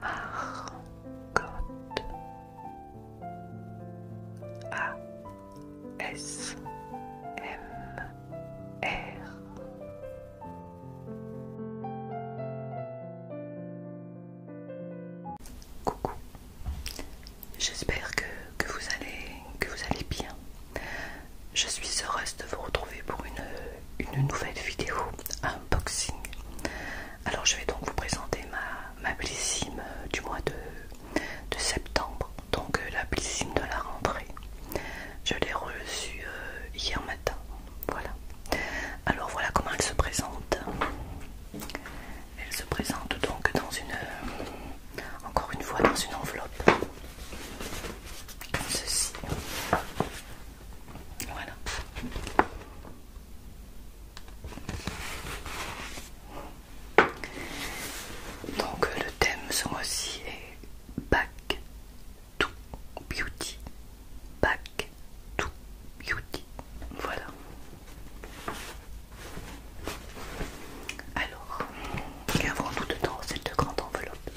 Marcotte A S M R Coucou J'espère que, que vous allez que vous allez bien. Je suis heureuse de vous retrouver pour une une nouvelle vidéo unboxing. Alors je vais donc vous présenter ma, ma blissime euh, du mois de, septembre, donc euh, la blissime de la rentrée. Je l'ai reçue euh, hier matin, voilà. Alors voilà comment elle se présente. Elle se présente donc dans une, encore une fois dans une enveloppe, comme ceci. Voilà. Donc le thème ce mois-ci est Back to Beauty. Back to Beauty. Voilà. Alors, qu'avons-nous dedans cette grande enveloppe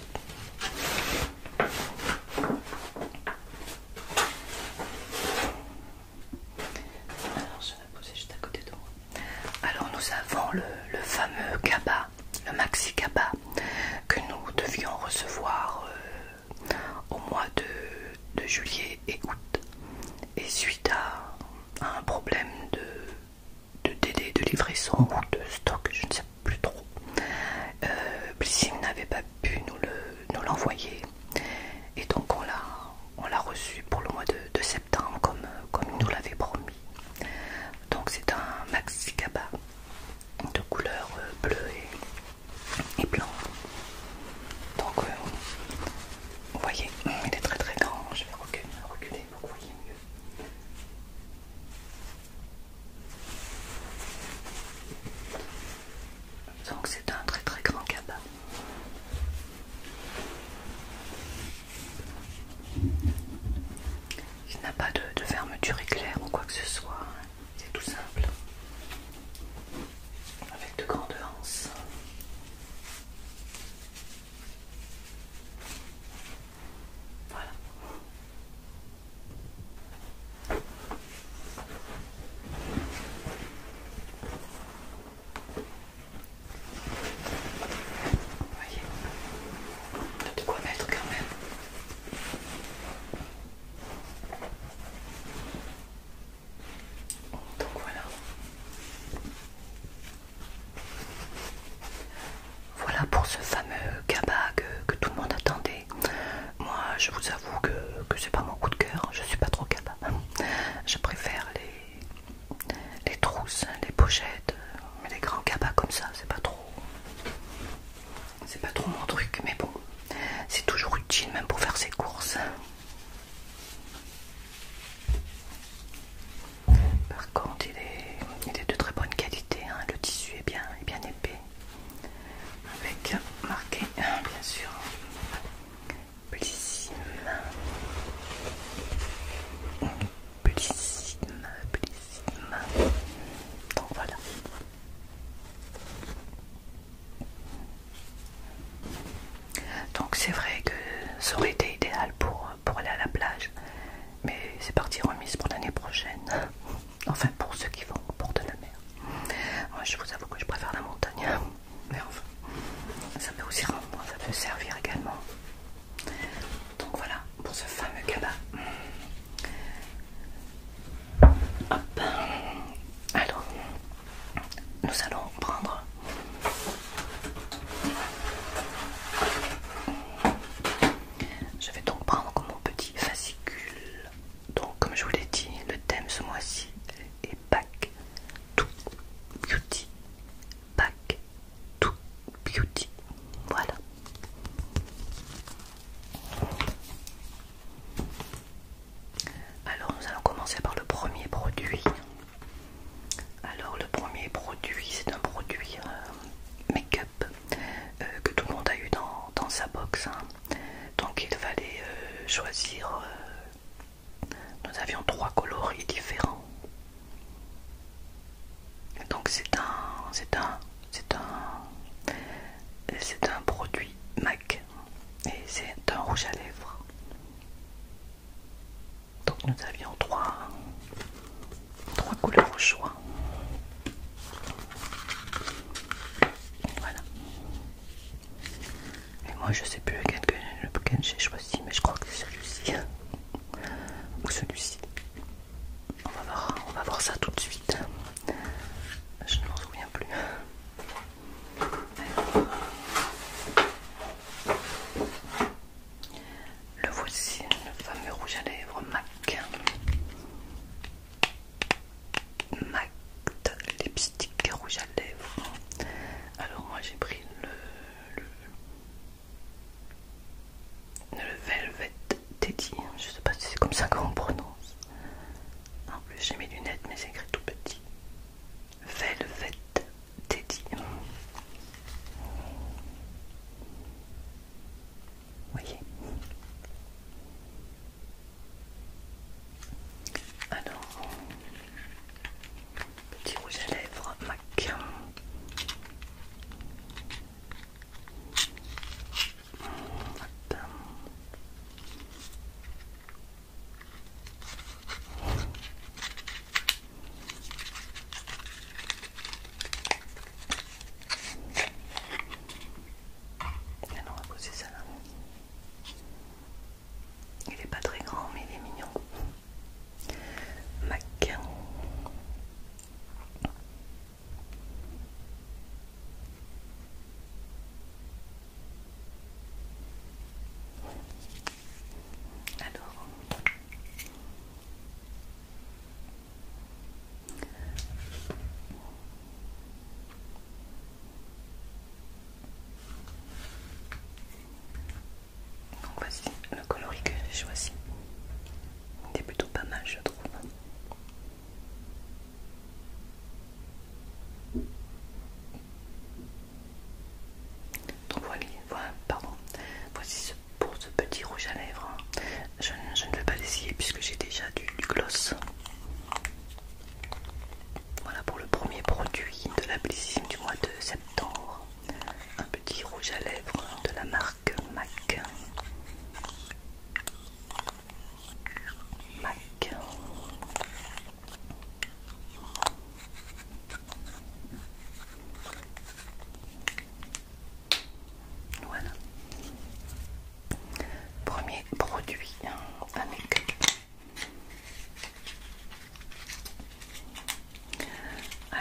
alors à Alors nous avons le, fameux cabas, le maxi cabas que nous devions recevoir euh, au mois de, juillet et août. Et suite à, un problème de, délai de livraison ou de stock, je ne sais pas plus trop. Euh, n'avait pas pu nous l'envoyer et donc on l'a reçu pour le mois de, septembre comme, comme il nous l'avait promis. Donc c'est un maxi caba de couleur euh, bleu et, blanc. Donc euh, vous voyez, il est très très grand. Je vais reculer, reculer pour que vous voyez mieux. Donc c'est un très très grand cabas. Il n'a pas de, fermeture éclair ou quoi que ce soit, hein. c'est tout simple. Avec de grandes anses. Voilà. Vous voyez, de quoi mettre quand même. Oh, donc voilà. Voilà pour ce fameux cabas que, que tout le monde attendait. Moi, je vous avoue que, c'est pas mon coup de cœur, je suis pas trop capable. Je préfère les, les trousses, les pochettes, mais les grands cabas comme ça, c'est pas trop. C'est pas trop mon truc, mais bon, c'est toujours utile même pour faire ses courses. Par contre, il est, de très bonne qualité. Hein. Le tissu est bien, est bien épais avec marqué bien sûr Blissime Blissime Blissime donc voilà donc c'est vrai que ça aurait été idéal pour, pour aller à la plage mais c'est parti remise pour l'année prochaine Enfin, pour ceux qui vont au bord de la mer. Moi, je vous avoue que je préfère la montagne. Mais enfin, ça peut aussi rendre, ça peut servir également. Donc voilà, pour ce fameux cabas. Hop. Alors, nous allons prendre... Je vais donc prendre mon petit fascicule donc, comme je vous l'ai dit, le thème ce mois-ci est Pack to Beauty. Back to Beauty. Voilà. Alors, nous allons commencer par le premier produit. Alors, le premier produit, c'est un produit euh, make-up euh, que tout le monde a eu dans, sa box. Hein. Donc il fallait euh, choisir. Euh, nous avions trois coloris différents. Donc c'est un, c'est un, c'est un, c'est un produit MAC et c'est un rouge à lèvres. Donc nous avions trois, trois couleurs au choix. Voilà. Et moi je sais plus lequel, j'ai choisi, mais je crois que c'est celui-ci. Ou celui-ci. On va voir, ça tout de suite. Je ne me souviens plus. Le voici, le fameux rouge à lèvres MAC. MAC lipstick rouge à lèvres. Alors moi j'ai pris le, le, Velvet Teddy. Je sais pas si c'est comme ça qu'on prononce. En plus j'ai mes lunettes mais c'est écrit tout petit. Velvet Teddy voyez. Alors, petit rouge à lèvres MAC. Alors on va poser ça là. Il n'est pas très grand mais il est mignon. Mac. Alors, donc voici le coloris que j'ai choisi. Il est plutôt pas mal je trouve. Donc voilà, pardon. Voici ce, pour ce petit rouge à lèvres. Hein. Je, ne vais pas l'essayer puisque j'ai déjà du gloss. Voilà pour le premier produit de la piscine du mois de septembre. Un petit rouge à lèvres de la marque MAC. MAC. Voilà. Premier produit à hein,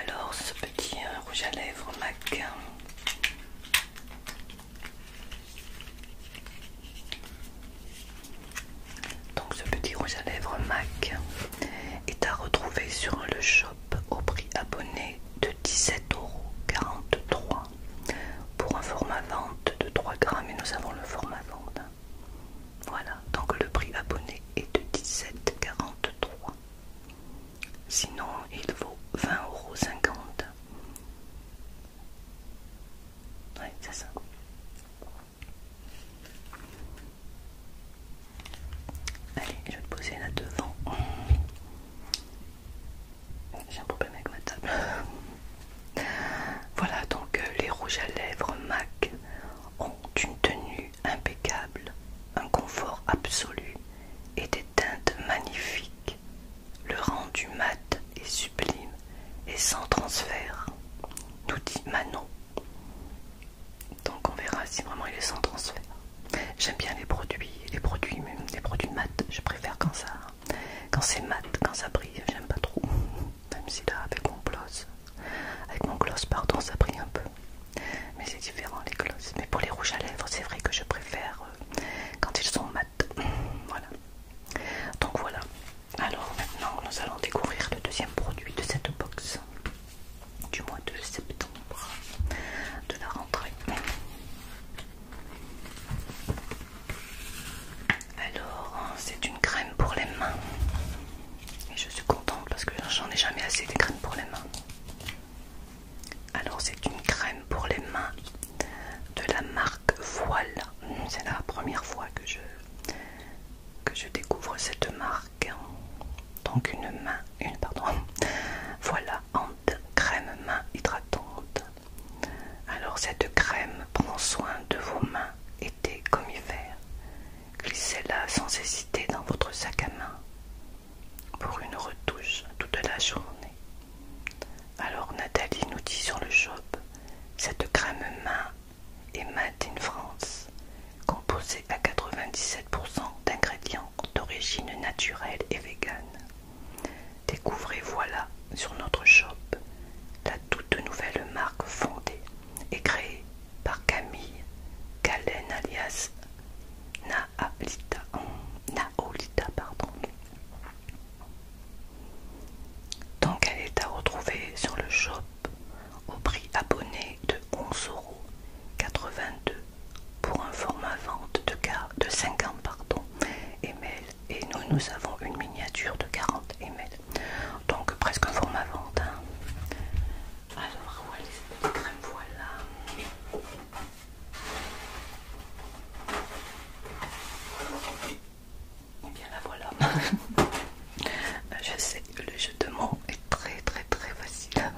Alors ce petit euh, rouge à lèvres MAC. Donc ce petit rouge à lèvres MAC est à retrouver sur le shop au prix abonné de 17,43€ pour un format vente de 3 grammes et nous avons le format vente. Voilà, donc le prix abonné est de 17,43. Sinon, il vaut 20,50€. Ouais, c'est ça. Allez, je vais te poser là devant. J'ai un problème avec ma table. voilà donc euh, les rouges à lèvres MAC ont une tenue impeccable, un confort absolu et des teintes magnifiques. Le rendu mat est sublime et sans transfert, nous dit Manon. Donc on verra si vraiment il est sans transfert. J'aime bien les produits, les produits, même les produits mat. Je préfère quand ça quand c'est mat, quand ça brille, j'aime pas trop. Même si là, avec mon gloss, avec mon gloss, pardon, ça brille un peu. Mais c'est différent les gloss Mais pour les rouges à lèvres, c'est vrai que je préfère euh, quand ils sont mat. Voilà. Donc voilà. Alors maintenant, nous allons découvrir le deuxième produit de cette box du mois de septembre de la rentrée. Alors, c'est une crème pour les mains. Et je suis contente parce que j'en ai jamais assez des crèmes pour les mains. Alors, c'est une crème pour les mains de la marque Voile. C'est la première fois que je, que je découvre cette marque. Donc, une main, une, pardon, voilà, crème main hydratante. Alors cette crème, prend soin de vos mains, été comme hiver. Glissez-la sans hésiter dans votre sac à main pour une retouche toute la journée. Alors Nathalie nous dit sur le shop cette crème main et Made in France, composée à 97% d'ingrédients d'origine naturelle et végane. Découvrez voilà sur notre shop la toute nouvelle marque fondée et créée par Camille Galen alias Naolita, Naolita pardon. Donc elle est à retrouver sur le shop au prix abonné de 11,82€ pour un format vente de, 50 pardon, et nous, nous avons une miniature de 40 ml. Donc presque un format vente. Hein. Alors, voilà les eh voilà. Et bien la voilà. je sais, le jeu de mots est très très très facile.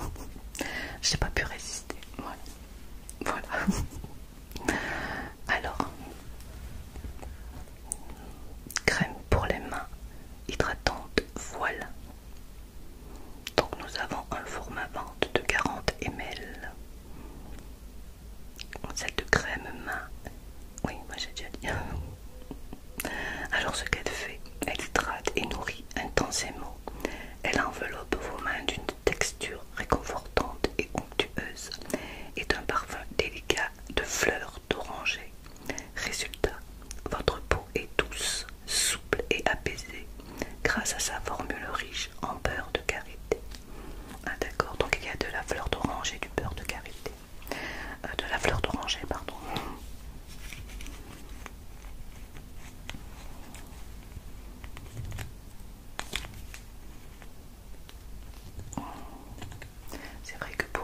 j'ai pas pu résister. Voilà. Alors, crème pour les mains hydratante voilà Donc nous avons un format vente de 40 ml. de crème main, oui, moi j'ai déjà dit. Alors ce qu'elle fait, elle hydrate et nourrit intensément. Elle enveloppe vos mains d'une texture réconfortante et est un parfum délicat de fleurs d'oranger. Résultat, votre peau est douce, souple et apaisée grâce à sa formule riche en beurre de karité. Ah, d'accord, donc il y a de la fleur d'oranger et du beurre de karité. Euh, de la fleur d'oranger, pardon. C'est vrai que euh,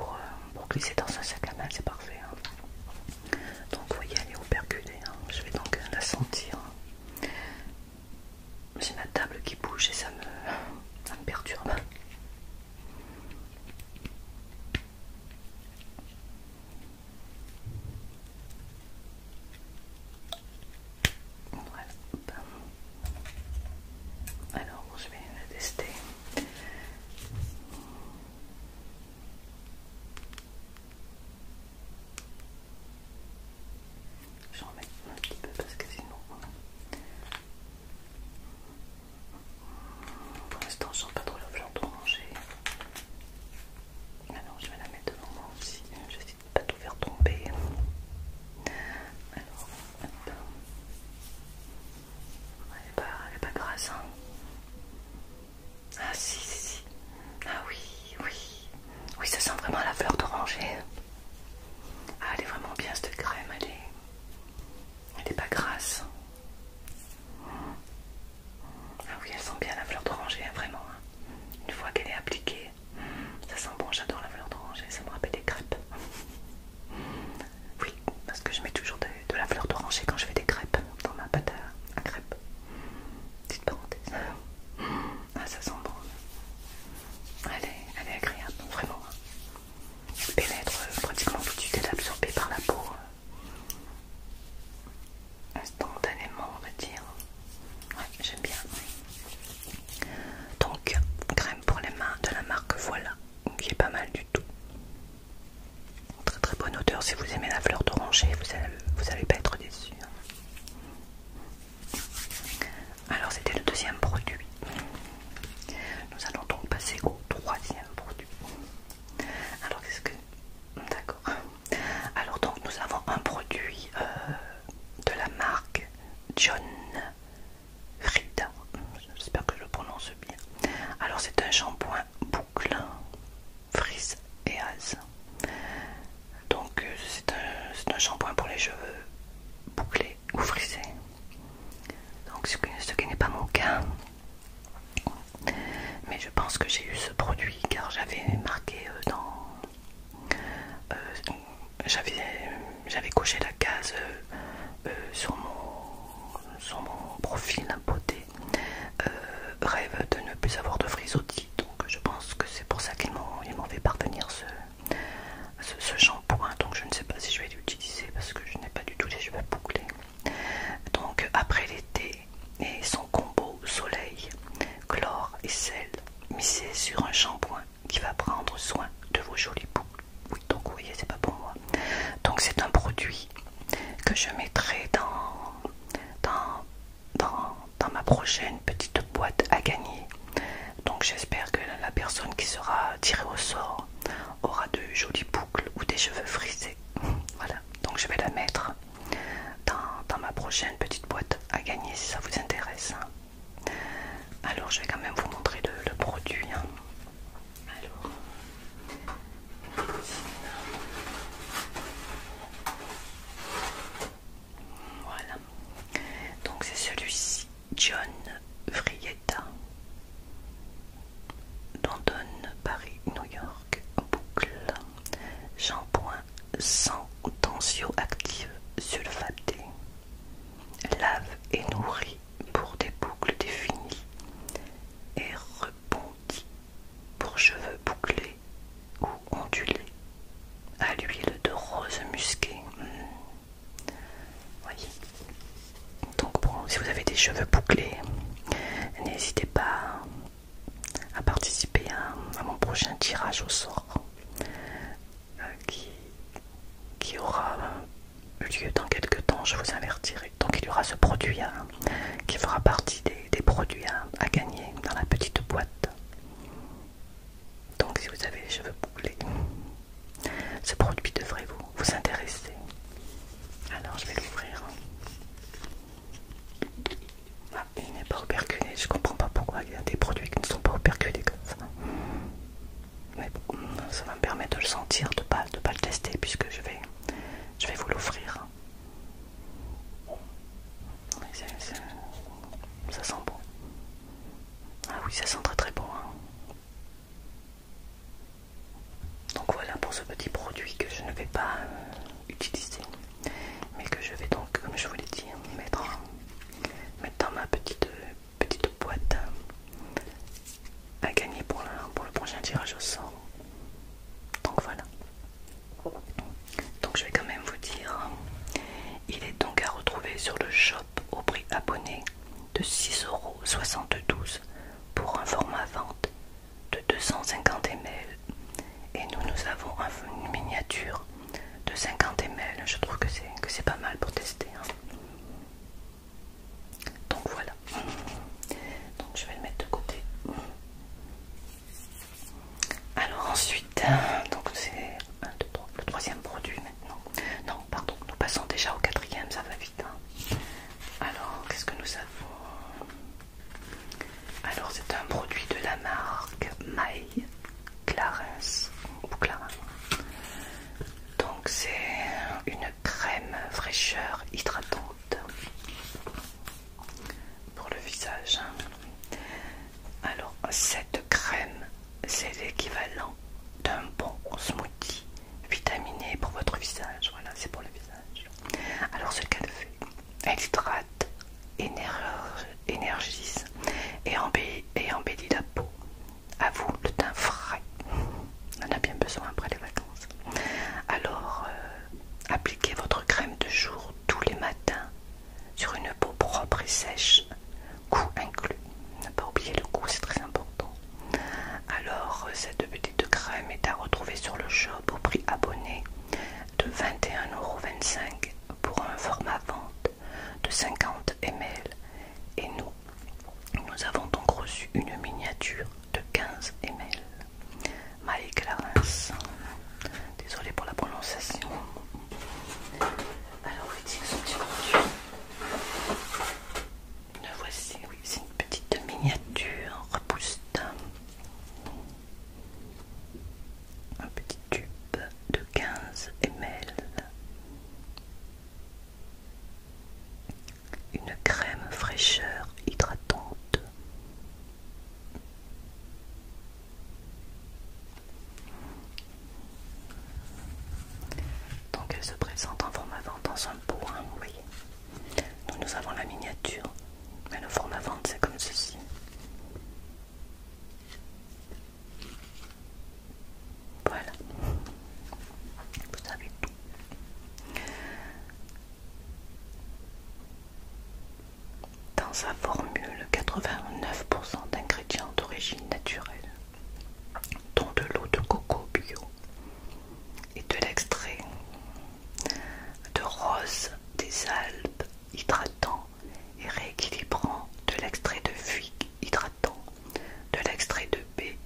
pour, glisser dans un sac à main, c'est parfait. Hein. Donc, vous voyez, elle est percuter. Hein. Je vais donc euh, la sentir. C'est ma table qui bouge et ça me, ça me perturbe. Alors je vais la tester. en mettre un petit peu parce que sinon pour l'instant je ne sens pas trop l'objet d'oranger. Alors je vais la mettre devant moi aussi pas tout faire tomber. Alors, Elle est pas, grasse, hein. Ah si, si, si. Ah oui, oui. Oui, ça sent vraiment la fleur d'oranger. Ah, elle est vraiment bien cette crème, elle est... Elle n'est pas grasse. Ah oui, elle sent bien la fleur d'oranger, hein, vraiment. Hein. Une fois qu'elle est appliquée, ça sent bon, j'adore la fleur d'oranger, ça me rappelle des crêpes. Oui, parce que je mets toujours de, la fleur d'oranger quand je fais des crêpes dans ma pâte à, crêpes. Petite parenthèse. Ah, ça sent bon. Elle est, agréable, vraiment. Elle hein. pénètre euh, pratiquement tout de suite, elle est absorbée par la peau euh, instantanément, on va dire. Ouais, j'aime bien. Donc crème pour les mains de la marque Voilà, qui est pas mal du tout. Très très bonne odeur, si vous aimez la fleur d'oranger, vous allez, pas être déçu. Hein. Alors c'était le deuxième produit. Nous allons donc passer au troisième produit. Alors qu'est-ce que... D'accord. Alors donc nous avons un produit euh, de la marque John Frida, j'espère que je le prononce bien. Alors c'est un shampoing boucle, frise et as. Donc euh, c'est un, un shampoing pour les cheveux bouclés ou frisés. Donc ce, ce qui n'est pas mon cas. Mais je pense que j'ai eu ce produit car j'avais marqué euh, dans... Euh, j'avais coché la case euh, euh, sur, mon, sur profil beauté euh, rêve de ne plus avoir de frisottis donc je pense que c'est pour ça qu'il m'en fait parvenir ce, ce, shampoing donc je ne sais pas si je vais l'utiliser parce que je n'ai pas du tout les cheveux bouclés donc après l'été et son combo soleil, chlore et sel misé sur un shampoing qui va prendre soin de vos jolies boucles. Oui, donc vous voyez, c'est pas pour moi. Donc c'est un produit que je mettrai dans, ma prochaine petite boîte à gagner. Donc j'espère que la personne qui sera tirée au sort aura de jolies boucles ou des cheveux frisés. Voilà, donc je vais la mettre dans, dans ma prochaine petite boîte à gagner si ça vous intéresse. Hein. Alors je vais quand même vous montrer le, produit. Hein. Alors, voilà. Donc c'est celui-ci, John Frietta, London, Paris, New York, boucle, shampoing sans tension active sulfaté lave et nourrit pour des boucles définies et rebondit pour cheveux bouclés ou ondulés à l'huile de rose musquée. Hmm. Donc bon, si vous avez des cheveux bouclés, n'hésitez pas à participer à mon prochain tirage au sort qui, aura lieu dans quelques temps, je vous avertirai. Donc il y aura ce produit là qui fera partie des, produits à gagner dans la petite boîte. Donc si vous avez les cheveux bouclés, ce produit devrait vous, intéresser. Alors je vais l'ouvrir. Ah, il n'est pas auperculé, je comprends pas pourquoi il y a des produits qui ne sont pas auperculés comme ça mais bon, ça va me permettre de le sentir, de pas, de pas le tester puisque je vais, je vais vous l'offrir. Ça sent bon. Ah oui, ça sent très très bon. Hein. Donc voilà pour ce petit produit que je ne vais pas euh, utiliser, mais que je vais donc, comme je vous l'ai dit, mettre, mettre dans ma petite petite boîte à gagner pour, le prochain tirage au sort. Donc voilà. Donc je vais quand même vous dire, il est donc à retrouver sur le shop au prix abonné de 6,72€ pour un format vente de 250 ml et nous nous avons une miniature de 50 ml. Je trouve que c'est pas mal pour tester. Hein. Donc voilà. Donc je vais le mettre de côté. Alors ensuite, donc c'est le troisième produit maintenant. Non, pardon, nous passons déjà au quatrième, ça va vite. Hein. Alors, qu'est-ce que nous avons Alors, c'est un produit de la marque My Clarence ou Clarins. Donc c'est une crème fraîcheur hydratante pour le visage. Hein. Alors cette crème, c'est l'équivalent d'un bon smoothie vitaminé pour votre visage. Voilà, c'est pour le visage. Alors ce qu'elle fait, elle hydrate, énergise et embellit, et embellit la peau. À vous, le teint frais. On en a bien besoin après les vacances. Alors, euh, appliquez votre crème de jour tous les matins sur une peau propre et sèche, coût inclus. Ne pas oublier le coût, c'est très important. Alors, euh, cette petite crème est à retrouver sur le shop au prix abonné de 21,25€ pour un format vente de 50 ml et nous nous avons donc reçu une miniature de 15 ml. Mike désolé désolée pour la prononciation. Alors, oui, c'est voici, oui, c'est une petite miniature repousse un petit tube de 15 ml une crème fraîcheur hydratante. Donc elle se présente en forme vente dans un pot, Nous, avons la miniature, mais le forme vente, c'est comme ceci. Voilà. Vous savez tout. Dans sa formule, 89% d'ingrédients d'origine naturelle, dont de l'eau de coco bio et de l'extrait de rose des Alpes hydratant et rééquilibrant, de l'extrait de figue hydratant, de l'extrait de baie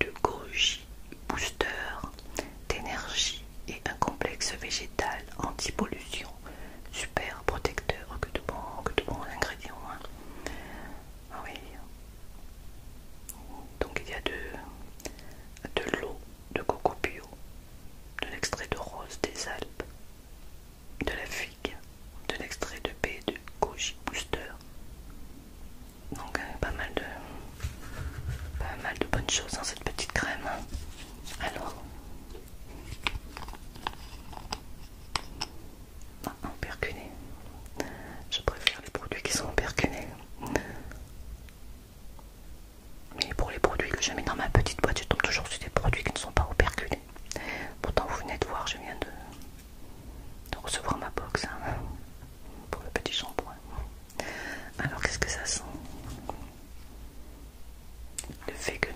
de goji booster, d'énergie et un complexe végétal anti-pollution, super protecteur, que de bons que ingrédients. Hein. Ah Donc il y a de, de l'eau de coco bio, de l'extrait de rose des Alpes, de la figue, de l'extrait de baie de goji booster, donc pas mal de pas mal de bonnes choses dans hein, cette petite crème. Alors en ah, ah, perculé. Je préfère les produits qui sont perculé. Mais pour les produits que je mets dans ma petite boîte, je tombe toujours sur des produits qui ne sont pas operculés. Pourtant, vous venez de voir, je viens de de recevoir ma box hein, pour le petit shampoing. Alors qu'est-ce que ça sent Le fait que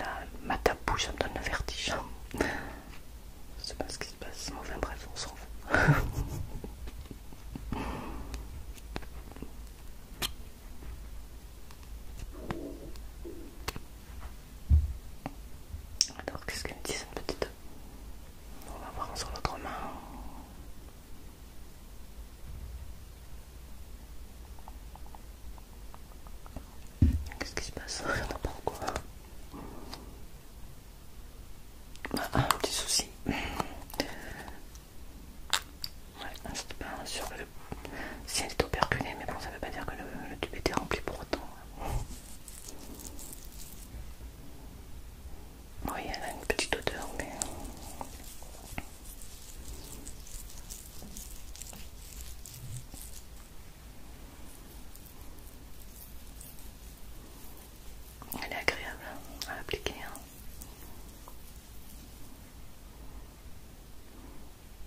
ma table me donne le vertige. Je sais pas ce qui se passe, Mauvais bref, on s'en fout. Alors qu'est-ce qu'elle me dit cette petite on va voir sur l'autre main. Qu'est-ce qui se passe Rien pas quoi bah, Un petit souci. Ouais, pas sûr le... Si elle est mais bon, ça veut pas dire que le tube était rempli pour autant. Oui, elle a une petite odeur, mais... Euh, elle est agréable à appliquer. Hein.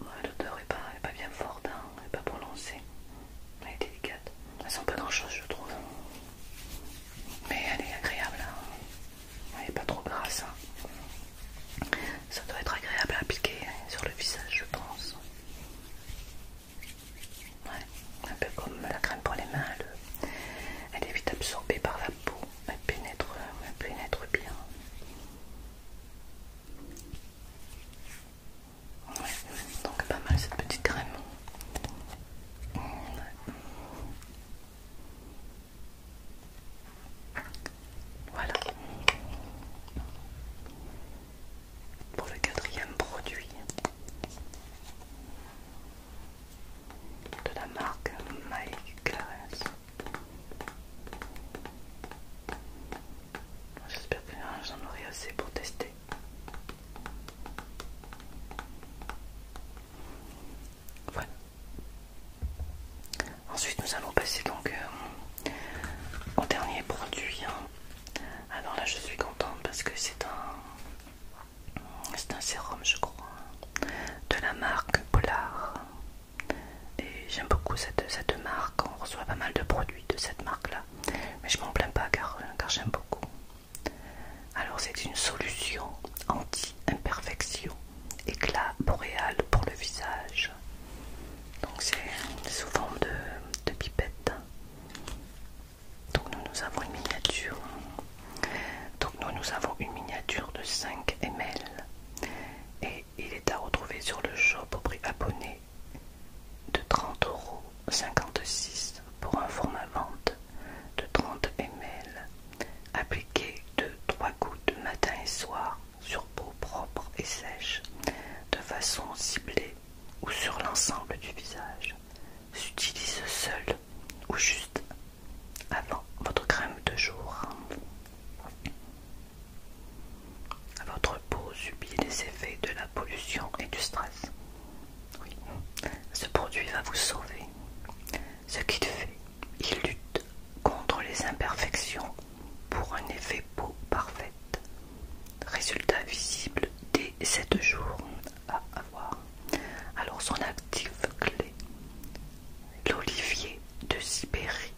L'odeur n'est pas, bien forte, hein, elle n'est pas prononcée. Elle est délicate. Elle sent pas grand chose, je trouve. Mais elle est agréable. Hein. Elle est pas trop grasse. Hein. Ça doit être agréable à appliquer sur le visage, je pense. un peu comme la crème pour les mains. Elle, est vite absorbée par la peau. pénètre, elle pénètre bien. Donc pas mal cette petite crème. Voilà. Pour le quatrième produit de la marque Mike Clarence. J'espère que j'en aurai assez pour tester. Ensuite, nous allons passer donc euh, au dernier produit. Hein. Alors là, je suis contente parce que c'est un, c'est un sérum, je crois, de la marque Polar. Et j'aime beaucoup cette, marque. On reçoit pas mal de produits de cette marque-là, mais je m'en plains pas car j'aime beaucoup. Alors c'est une solution anti-imperfection, éclat boréal pour le visage. Donc c'est sous forme de, de pipette. Donc nous, avons une miniature. Donc nous, nous avons une miniature de 5 ml. Et il est à retrouver sur le shop au prix abonné de 30 euros pour un format vente de 30 ml appliqué de 3 gouttes matin et soir sur peau propre et sèche de façon ciblée ou sur l'ensemble du visage s'utilise seul ou juste avant votre crème de jour votre peau subit les effets de la pollution et du stress oui, ce produit va vous sauver. Ce qu'il fait, il lutte contre les imperfections pour un effet peau parfaite. Résultat visible dès 7 jours à avoir. Alors son actif clé, l'olivier de Sibérie,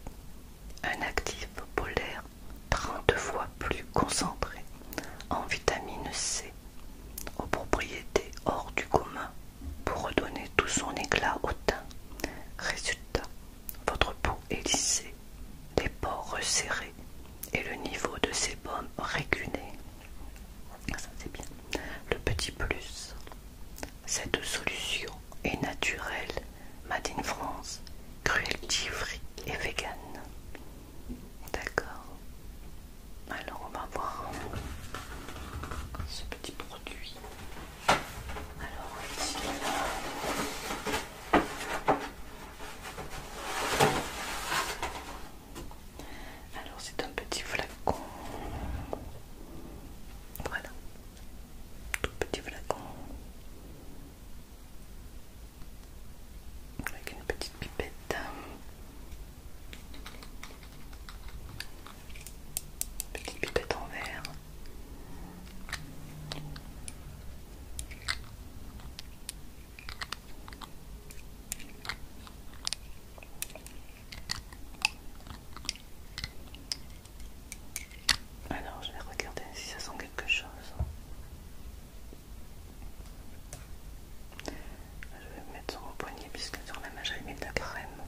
un actif polaire 30 fois plus concentré en vitamine C, aux propriétés hors du commun pour redonner tout son éclat au teint. Résultat, votre peau est lissée, les pores resserrés et le niveau de sébum régulé. Ça c'est bien. Le petit plus, cette solution est naturelle, Made in France, cruelty free et vegan. D'accord. Alors on va voir ce petit produit. Alors Alors c'est un petit flacon. Voilà. Tout petit flacon avec une petite pipette petite pipette en verre alors je vais regarder si ça sent quelque chose. Je vais me mettre sur mon poignet puisque sur la main j'avais mis de la crème.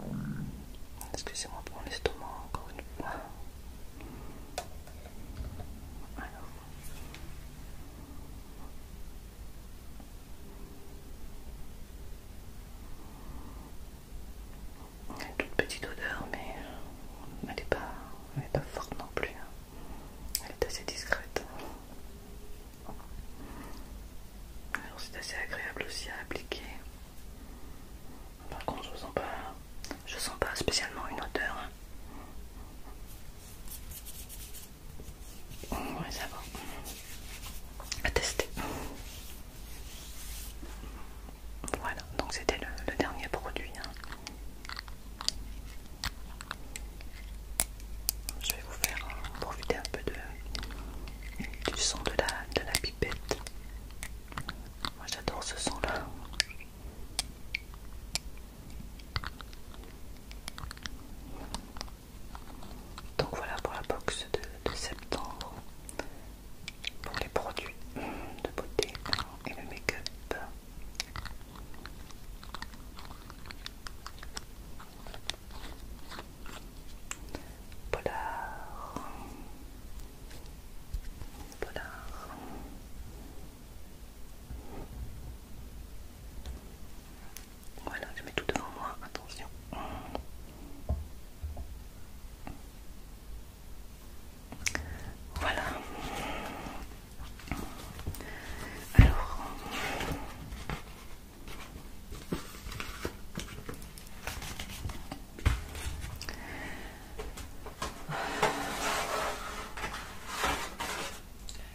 Excusez-moi pour mon estomac encore une fois. Il y a une toute petite odeur mais elle n'est pas, pas forte non plus. Hein. Elle est assez discrète. Alors c'est assez agréable aussi à appliquer. Par contre je sens pas, je sens pas spécialement une odeur. Ouais ça va. À tester. Voilà, donc c'était le, dernier produit. Hein. Je vais vous faire profiter un peu de, du son de la, de la pipette. Moi j'adore ce son-là. Donc voilà pour la box de, de septembre, pour les produits de beauté et le make-up. Voilà, je mets tout devant moi, attention. Voilà. Alors,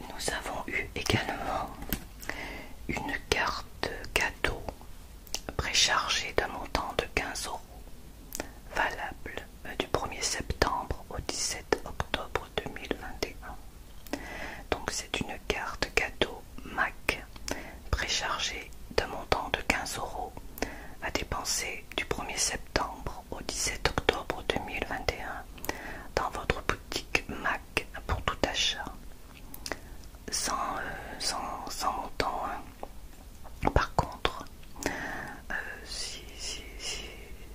nous avons eu également une carte cadeau préchargée d'un montant de 15 euros, valable du 1er septembre au 17 octobre 2021. Donc c'est une carte cadeau MAC préchargée d'un montant de 15 euros à dépenser du 1er septembre au 17 octobre 2021 dans votre boutique MAC pour tout achat. Sans, euh, sans, montant. Hein. Par contre, euh, si, si, si,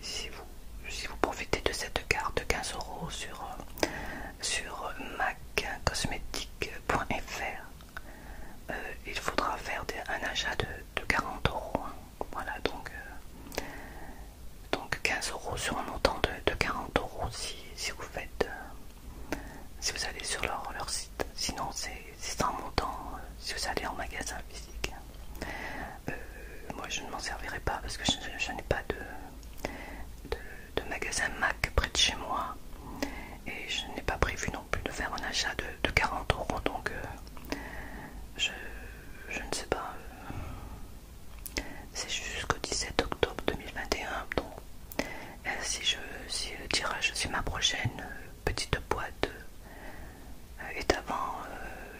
si vous, si vous profitez de cette carte 15 euros sur, euh, sur maccosmétique.fr, euh, il faudra faire un achat de, 40 euros. Hein. Voilà donc, euh, donc 15 euros sur un montant de, 40 euros si, vous faites. si vous allez sur leur, site, sinon c'est un montant si vous allez en magasin physique. Hein. Euh, moi je ne m'en servirai pas parce que je, n'ai pas de, magasin Mac près de chez moi et je n'ai pas prévu non plus de faire un achat de, 40 euros donc euh, je, ne sais pas. Euh, c'est jusqu'au 17 octobre 2021 donc si, je, le tirage, si ma prochaine petite boîte est avant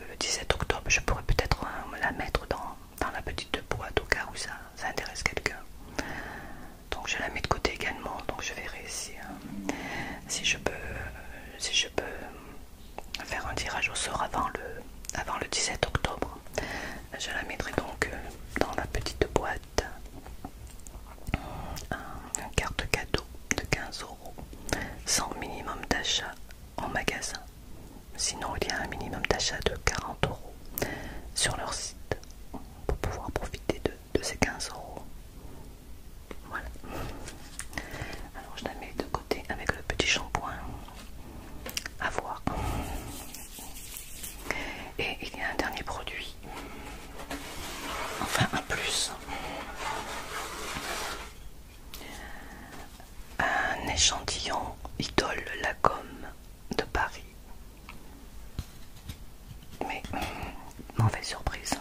le 17 octobre, je pourrais peut-être me la mettre dans dans la petite boîte au cas où ça, intéresse quelqu'un. Donc je la mets de côté également, donc je verrai si, euh, si, je, peux, si je peux faire un tirage au sort avant le, avant le 17 octobre. Je la mettrai donc euh, dans la petite boîte. Euh, une carte cadeau de 15 euros sans minimum d'achat en magasin. Sinon, il y a un minimum d'achat de 40 euros sur leur site pour pouvoir profiter de, ces 15 euros. Voilà. Alors, je la mets de côté avec le petit shampoing à voir. Et il y a un dernier produit, enfin un plus. Un échantillon idole la gomme de Paris. Mais hmm, mauvaise surprise.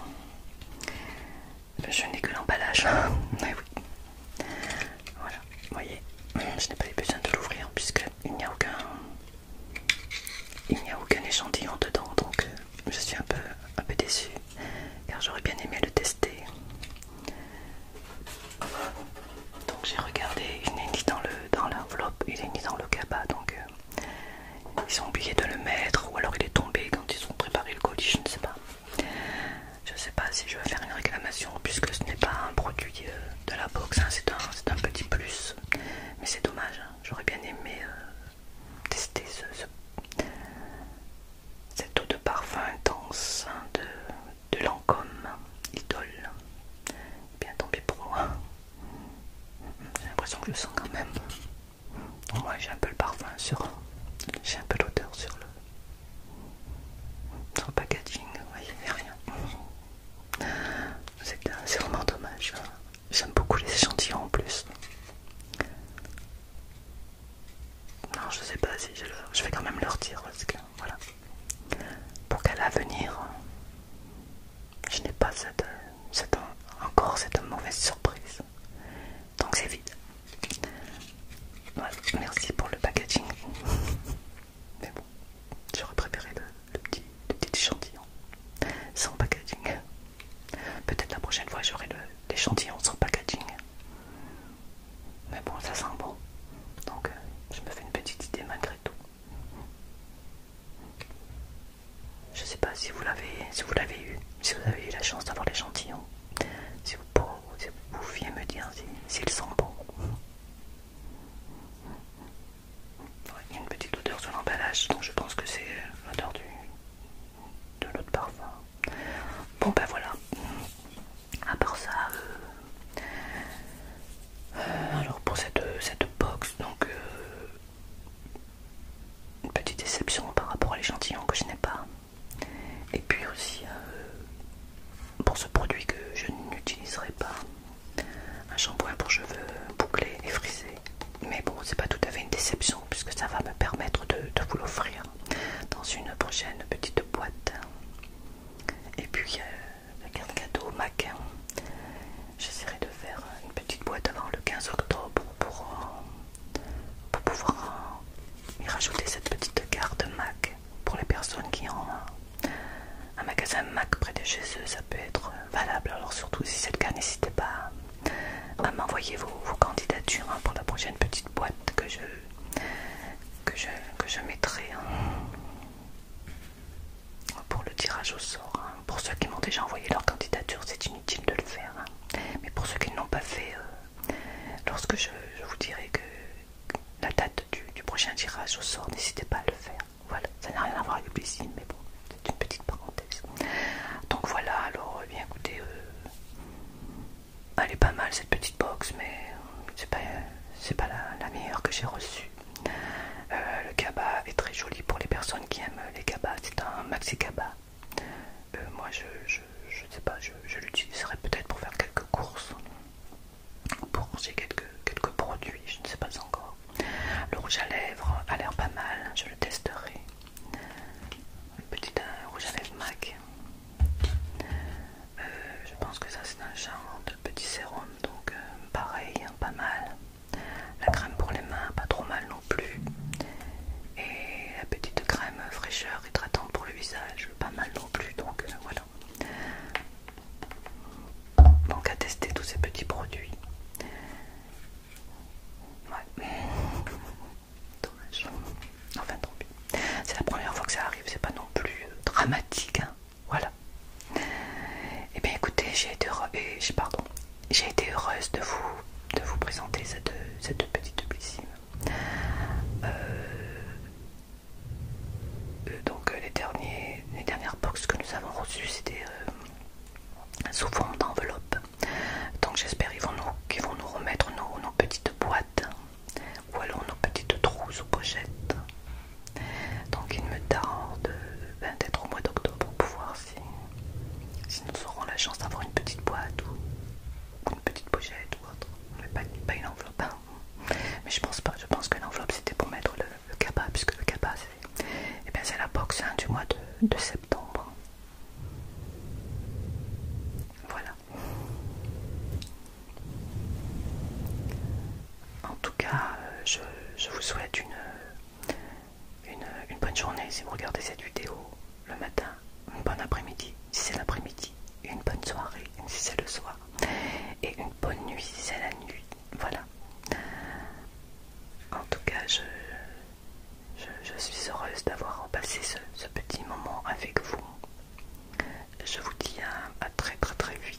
Je n'ai que l'emballage. Voilà, vous voyez, hmm, je n'ai pas eu besoin de l'ouvrir puisqu'il n'y a aucun. Il n'y a aucun échantillon dedans, donc euh, je suis un peu, un peu déçue car j'aurais bien aimé le tester. Donc j'ai regardé, il n'est ni dans le dans l'enveloppe, il est ni dans le cabas, donc euh, ils ont oublié de le mettre ou alors il est tombé quand ils ont préparé le colis, je ne sais pas. Je ne sais pas si je vais faire une réclamation puisque ce n'est pas un produit euh, de la box, hein, c'est un, petit plus, mais c'est dommage, hein. j'aurais bien aimé euh, tester ce, cette eau de parfum intense hein, de de l'encomme, idole. bien tombé pro. pour moi. J'ai l'impression que je le sens quand même. j'ai un peu le parfum sur. J'ai un peu l'odeur sur le. packaging, il n'y a rien. C'est vraiment dommage. Hein. J'aime beaucoup les échantillons en plus. Non, je sais pas si je, le... je vais quand même leur dire parce que voilà. Pour qu'à l'avenir, je n'ai pas encore cette mauvaise surprise. Donc c'est vide. merci pour le packaging. Mais bon, j'aurais préféré petit, le petit échantillon sans packaging. Peut-être la prochaine fois j'aurai l'échantillon sans packaging. Mais bon, ça sent bon. Donc, euh, je me fais une petite idée malgré tout. Je sais pas si vous l'avez si vous l'avez eu, si vous avez eu la chance d'avoir l'échantillon. Si vous, pouvez, me dire s'ils sent bon. il y a une petite odeur sur l'emballage, donc je pense que c'est euh, l'odeur de l'autre parfum. Bon ben voilà à part ça euh, euh, alors pour cette, box donc euh, une petite déception par rapport à l'échantillon que je n'ai pas et puis aussi pour ce produit que je n'utiliserai pas un shampoing pour cheveux bouclés et frisés mais bon c'est pas tout à fait une déception puisque ça va me permettre de vous l'offrir dans une prochaine petite boîte et puis euh, la carte cadeau Mac. J'essaierai de faire une petite boîte avant le 15 octobre pour, euh, pouvoir euh, y rajouter cette petite carte Mac pour les personnes qui ont un, magasin Mac près de chez eux. Ça peut être valable. Alors surtout si cette le cas, n'hésitez pas à m'envoyer vos, candidatures hein, pour la prochaine petite boîte que je que je, que je mettrai hein. pour le tirage au sort. Hein. Pour ceux qui m'ont déjà envoyé leur candidature, c'est inutile de le faire. Hein. Mais pour ceux qui ne l'ont pas fait, euh, lorsque je, vous dirai que la date du, prochain tirage au sort, n'hésitez pas à le faire. Voilà, ça n'a rien à voir avec le plaisir, mais bon, c'est une petite parenthèse. Donc voilà, alors, eh bien écoutez, euh, elle est pas mal cette petite box, mais c'est pas, pas la, meilleure que j'ai reçue. Euh, le cabas est très joli pour les personnes qui aiment les cabas. C'est un maxi cabas. Euh, moi, je, je, sais pas, je, l'utiliserai peut-être pour faire quelques courses, pour ranger quelques, produits, je ne sais pas encore. Le rouge à lèvres a l'air pas mal, je le testerai. Un petit rouge à lèvres MAC. Euh, je pense que ça c'est un genre de petit sérum, donc euh, pareil, hein, pas mal. La crème pour les mains, pas trop mal non plus. Et la petite crème fraîcheur hydratante pour le visage, pas mal non plus, donc euh, voilà. Donc à tester tous ces petits produits. Ouais. Dommage. Enfin tant pis. C'est la première fois que ça arrive, c'est pas non plus dramatique. Hein. Voilà. Eh bien écoutez, j'ai été, heureuse de vous, de vous présenter cette, petite blissime. Euh, euh, donc les, derniers, les dernières boxes que nous avons reçues, c'était euh, sous forme d'enveloppe. Donc j'espère qu'ils vont, nous, vont nous remettre nos petites boîtes où allons nos petites trousses ou pochettes. Donc il me tarde peut-être au mois d'octobre pour voir si, si nous aurons la chance d'avoir une petite boîte ou, une petite pochette ou autre, mais pas, une enveloppe. Hein. Mais je pense pas, je pense que l'enveloppe c'était pour mettre le, capa, puisque le capa eh c'est la box hein, du mois de septembre. Voilà. En tout cas, euh, je, vous souhaite une, bonne journée si vous regardez cette vidéo le matin, une bonne après-midi si c'est l'après-midi, une bonne soirée si c'est le soir, et une bonne nuit si c'est la nuit. Voilà. En tout cas, je, suis heureuse d'avoir passé ce, petit moment avec vous. Je vous dis à très très très vite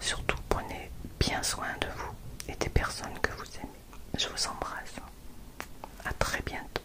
Surtout, prenez bien soin de vous et des personnes que vous aimez. Je vous embrasse. À très bientôt.